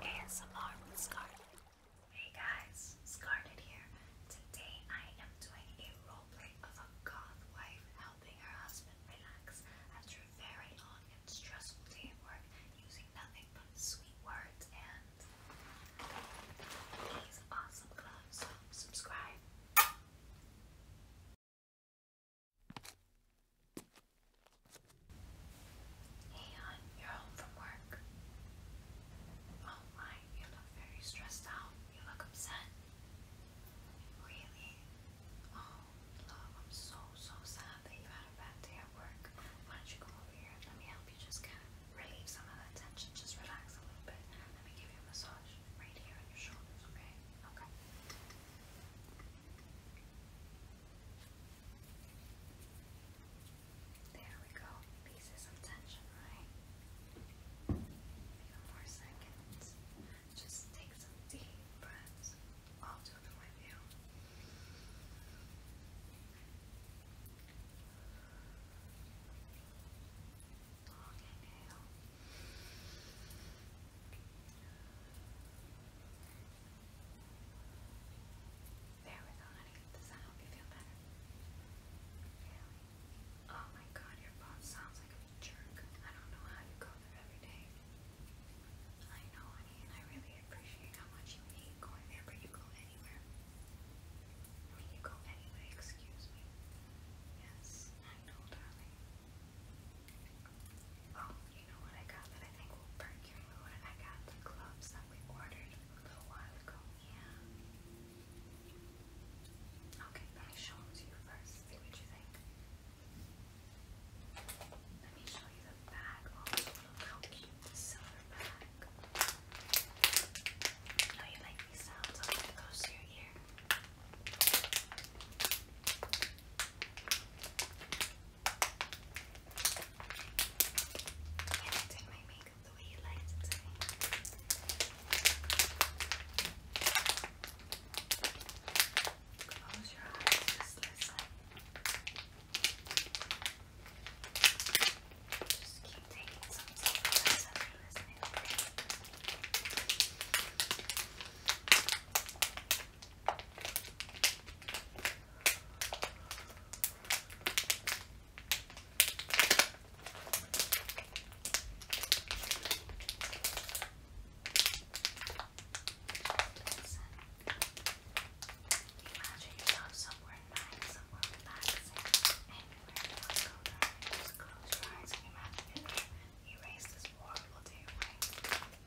Hey guys, Scarlet here. Today I am doing a roleplay of a goth wife helping her husband relax after a very long and stressful day at work using nothing but sweet words and these awesome gloves. subscribe. Hey, hon, you're home from work. Oh my, you look very stressed out. You look upset. Really? Oh, love, I'm so, so sad that you had a bad day at work. Why don't you come over here? Let me help you just kind of relieve some of that tension. Just relax a little bit. Let me give you a massage right here on your shoulders, okay? Okay. There we go. Pieces of tension, right? A more seconds. Just take some deep breaths. I'll do them with you. Long inhale. There we go, honey. Does that help you feel better? Oh my god, your boss sounds like a jerk. I don't know how you go there every day. I know, and I really appreciate how much you hate going there, but you go anywhere. I you go anyway, excuse me. Yes, I know, darling. Oh, you know what I got that I think will perk your mood? I got the gloves that we ordered a little while ago. Yeah. Okay, let me show them to you first. See what you think. Let me show you the bag. look how cute the silver bag. Oh, you like these sounds? I'll get close to your ear. And my makeup the way you liked it Close your eyes, just listen. Just keep taking some steps and listening, Imagine yourself somewhere nice, somewhere relaxing, anywhere you want to close your eyes imagine if erase this horrible day away.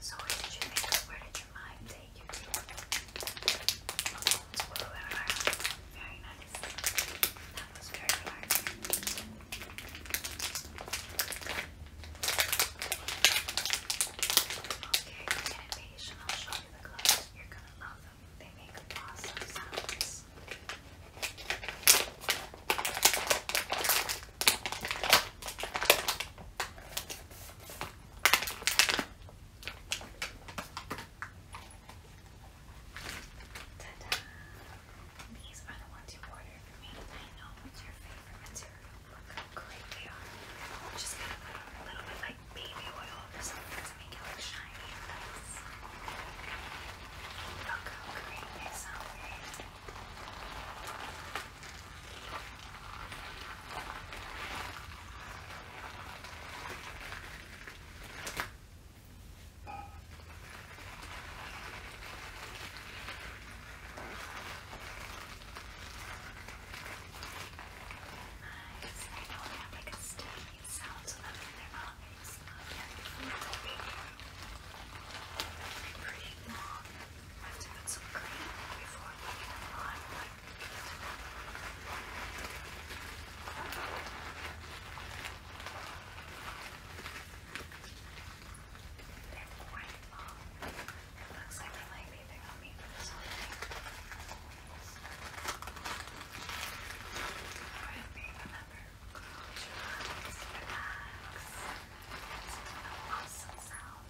So where did you your mind take you Very nice. That was very hard. Okay, get impatient, I'll show you the gloves. You're gonna love them. They make awesome sounds ta These are the ones you ordered for me. I know what's your favorite material. Look how great they are. just gonna put a little bit like baby oil or something to make it look shiny Look how great they sound. I don't have like a sticky sound to them in their mouth. It's not very pretty long. I have to put some cream before I put it They're quite long. It looks like they might be big on me for this whole thing. Alright, babe, remember. Relax. It's an awesome sound.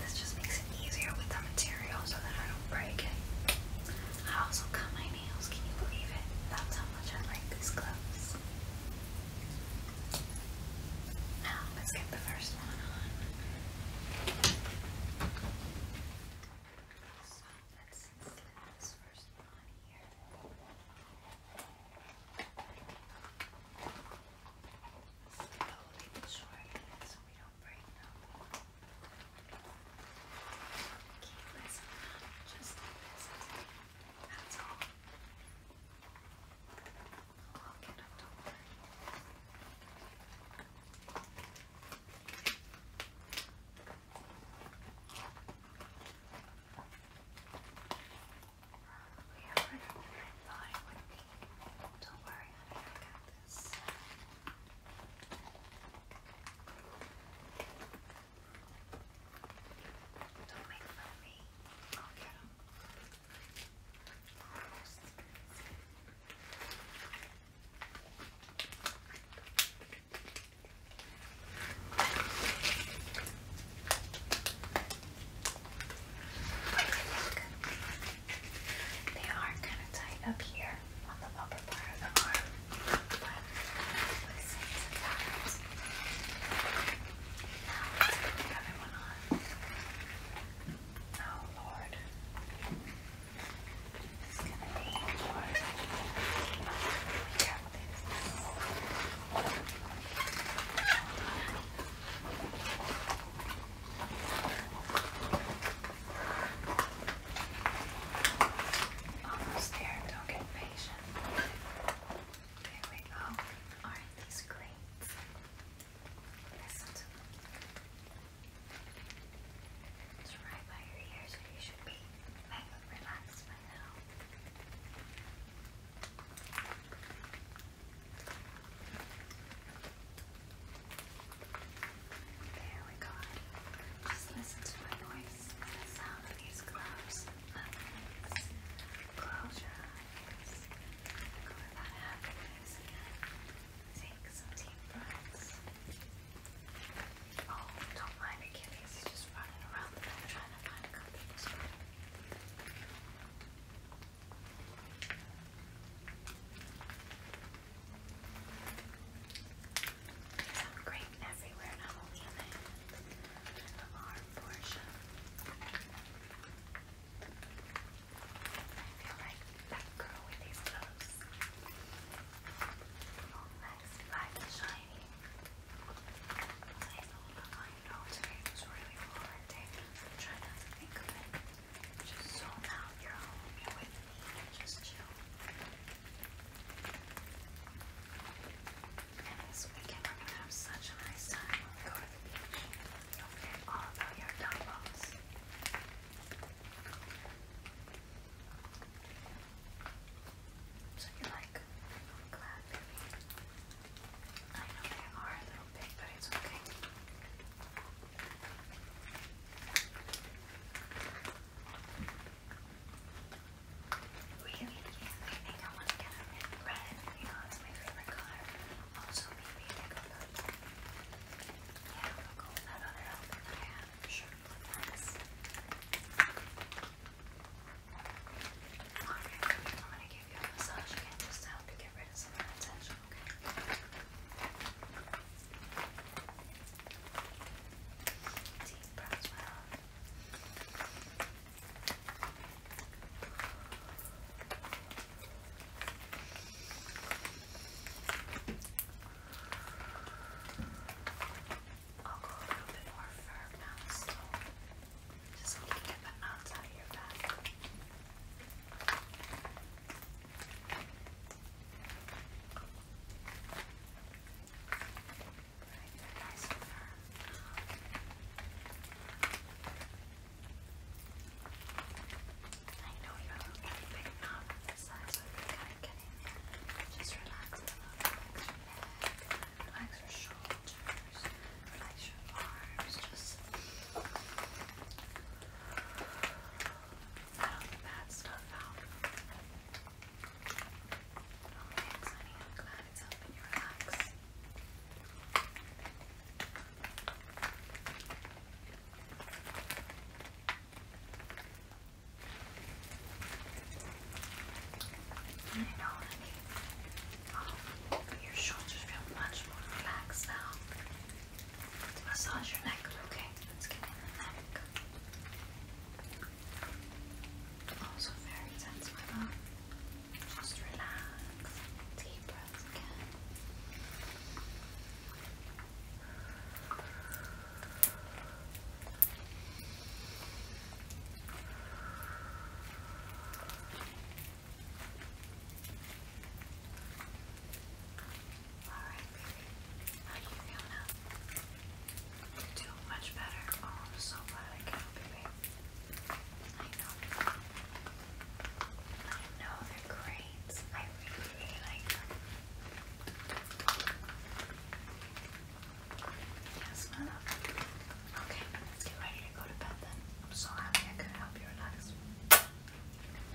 This just makes it easier with the material so that I don't break it. I also cut my nails, can you believe it? That's how much I like these gloves. Now, let's get the first one on. So, let's slip this first one on here. Still leave it short so we don't break them. Keep this on, just this. That's all. I'll get them, don't worry. Okay. Probably a red line would be. Don't worry, honey, I got this. Don't make fun of me. I'll get him. Almost. They are kind of tight up here on the upper part of the arm, but sometimes. Now let's put the one on. Oh Lord is going Almost there, don't get impatient. There we go. are these great? Listen It's right by your ears where you should be. relax there we go. Just listen to my voice the sound of these gloves. Eyes. Close happiness again. Take some deep breaths. Oh, don't mind the kitties, he's just running around the room trying to find a copy of this one. There's some grape everywhere, not only in the, in the arm portion. I feel like that girl with these gloves. Oh, nice, light and shiny. I know today was really hard day. try to think of it. Just zone out. You're home. You're with me. Just chill. And this weekend we're gonna have such a nice time when we go to the beach. you all about your dumbbells. So you're like, I'm glad, I know they are a little big, but it's okay. Really? I I want to get a mint red. You know, it's my favorite color. Also, maybe a purple. Yeah, other outfit I have, sure. Alright, I'm gonna give you a massage just to help you get rid of some tension, okay? I'll go a little bit more firm now, just so we can get the outside of your back. Right, nice firm. I know you're looking big enough with so if you kind of get there, just relax a little bit Relax your shoulders, relax your arms, just let all the bad stuff out. Okay, I'm glad it's helping you relax. You know, like, your shoulders feel much more relaxed now. Let's massage your neck, okay? Let's get in neck. Also very tense, my mom. Just relax. Deep breaths again. Alright, baby. How you feeling now? You're much better. Oh, I'm so glad I can, baby. I know. I know they're great. I really like them. Yes, Okay, let's get ready to go to bed then. I'm so happy I could help you relax.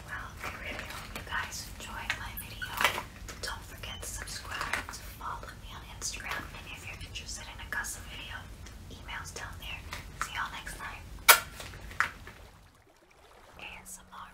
Well, I really hope you guys enjoyed my video. Don't forget to subscribe, follow me on Instagram, and if you're interested in a custom video, email's down there. See y'all next time. ASMR